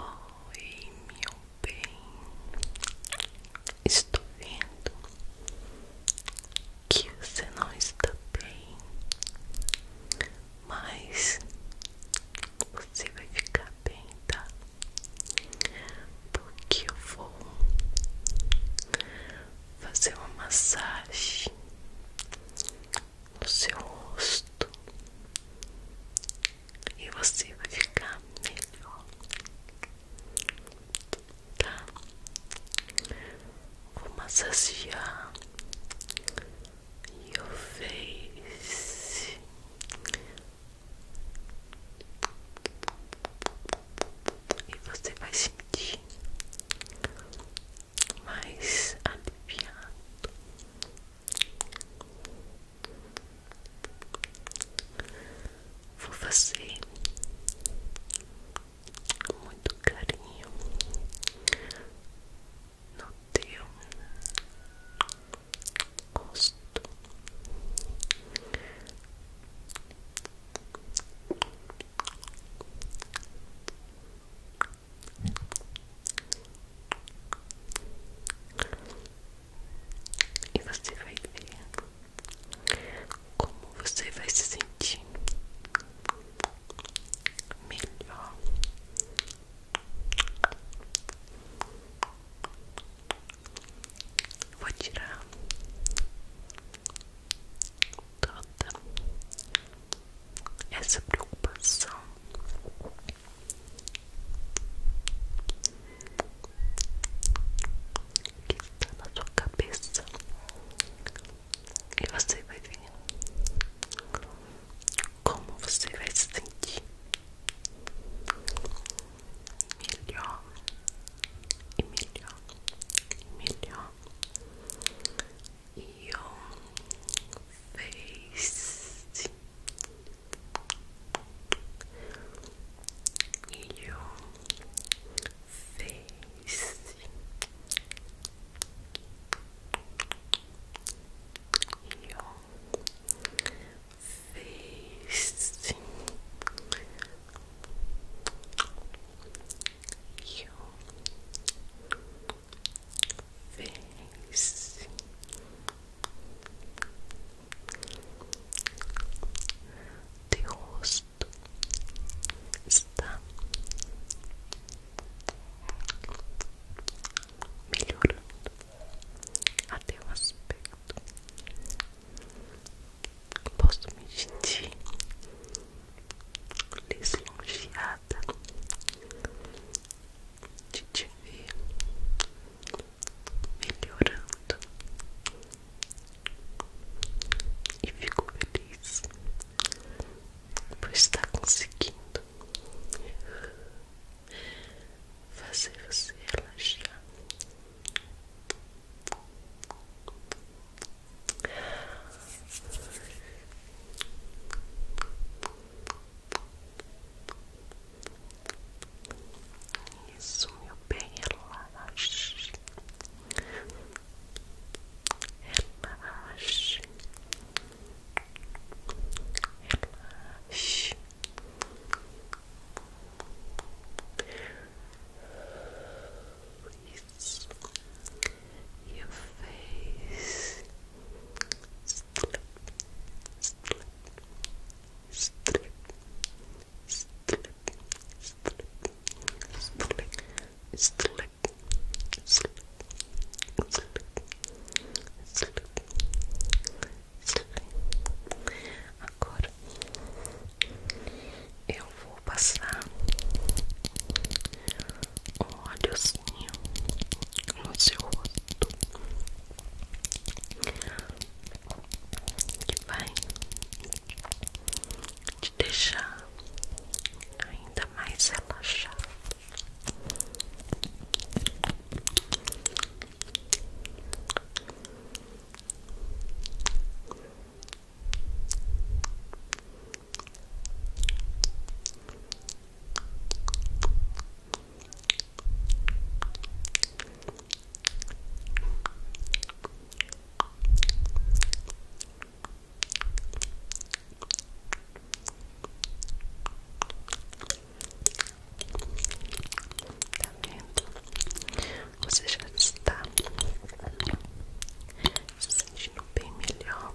Oi, meu bem, estou vendo que você não está bem, mas você vai ficar bem, tá? Porque eu vou fazer uma massagem no seu rosto e você vai ficar melhor, tá? Vou massagear your face. E você vai sentir mais aliviado, Vou fazer com muito carinho no teu gosto. E você vai ver como você vai se sentir melhor. Vou tirar toda essa preocupação que está na sua cabeça e você vai ver como você vai sentir melhor e melhor e melhor e eu face your face. Your face, your fez teu rosto está melhorando até o aspecto posso me sentir lisonjeada obrigada de te ver melhorando e ficou feliz por estar conseguindo fazer você relaxar. Isso, meu bem, relaxe. Relaxe. Relaxe. Isso. Your face Agora eu vou passar um óleozinho no seu rosto que vai te deixar ainda mais relaxado. Tá vendo? Você já está se sentindo bem melhor.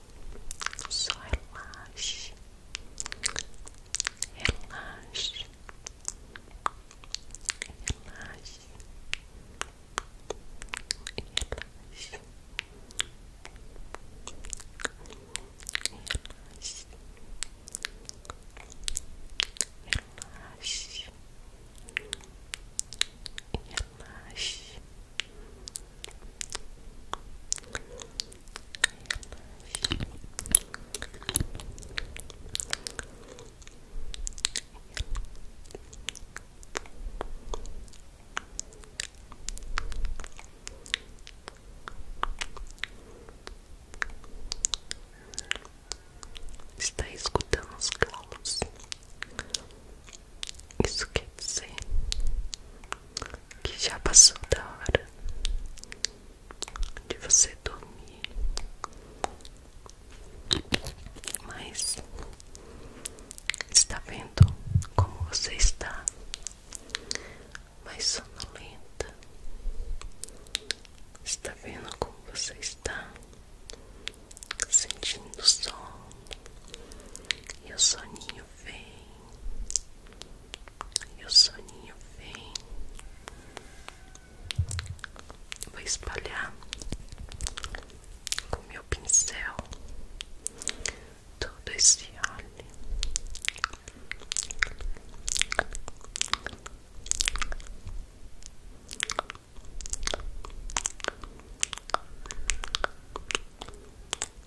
Só relaxe, relaxe, relaxe, relaxe, relaxe. Relaxe, relaxe, relaxe, Está escutando os calos? Isso quer dizer que já passou da hora de você dormir, mas está vendo como você está mais sonolenta, está vendo como você está sentindo o sono e o soninho vem e o soninho vem. Vou espalhar com meu pincel todo esse óleo.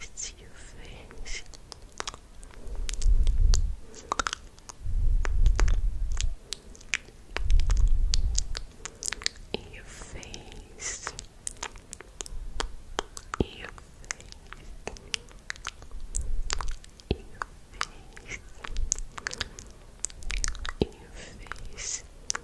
it's your face. Your face. Your face. Your face. Your face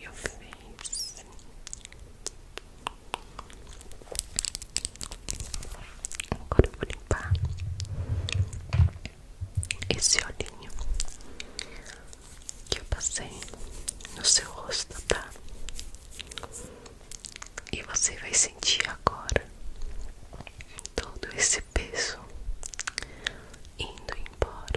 Eu fiz Agora vou limpar esse olhinho que eu passei no seu rosto, tá? E você vai sentir agora todo esse peso indo embora.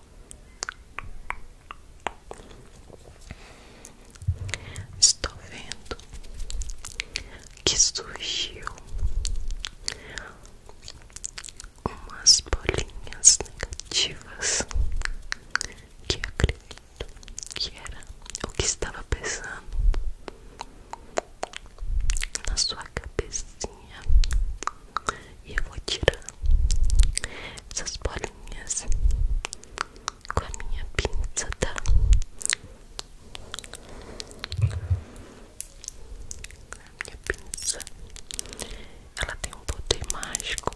Estou vendo que surgiu umas bolinhas negativas que acredito que era o que estava pesando na sua cabecinha e eu vou tirar essas bolinhas com a minha pinça, tá? A minha pinça ela tem um poder mágico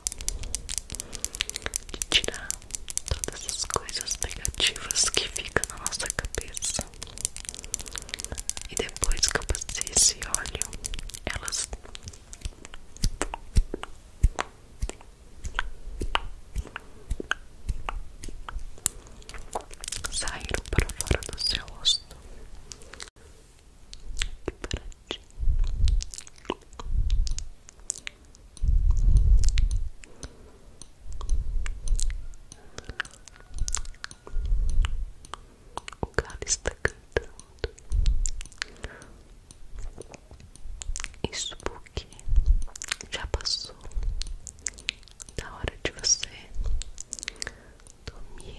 de tirar todas as coisas negativas que ficam na nossa cabeça. E depois que eu passei esse óleo, elas saíram para fora do seu rosto. O cara está cantando. Isso porque já passou da hora de você dormir.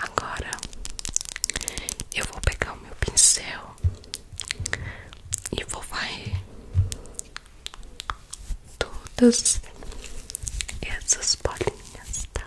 Agora eu vou pegar o meu pincel e vou varrer todas essas bolinhas, tá?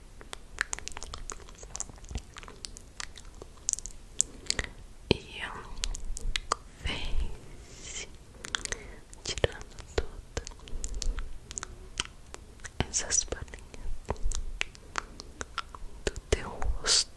E eu fez tirando todas essas bolinhas do teu rosto.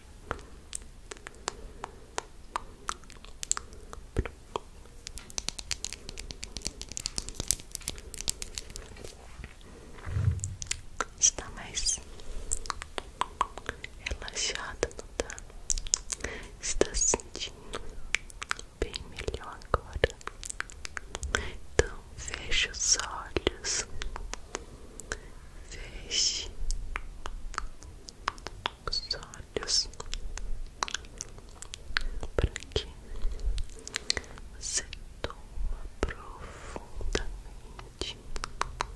Está mais relaxada, não está? Está sentindo bem melhor agora. Então feche os olhos, feche, os olhos para que você toma profundamente toma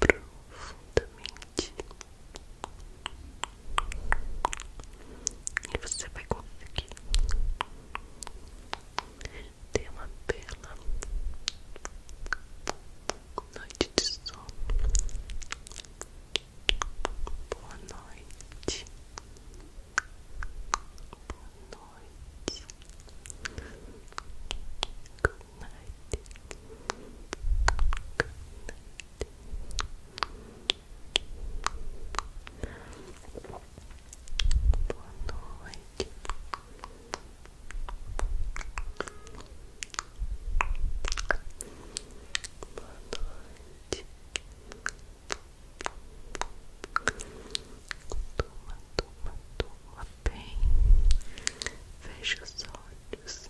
profundamente e você vai conseguir ter uma bela noite de sono. Boa noite. Boa noite. Good night. Boa noite. Boa noite. Toma, toma, toma bem. Fecha os olhos.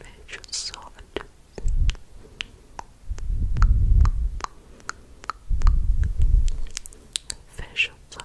Measure soft. Facial soft. Facial soft.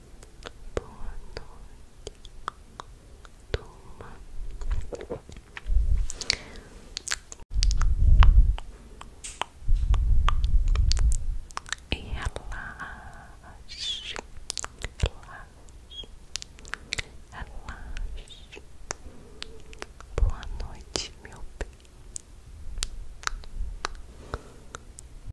Boa noite. Toma. E relaxe. Relaxe. Relaxe. Boa noite, meu bem.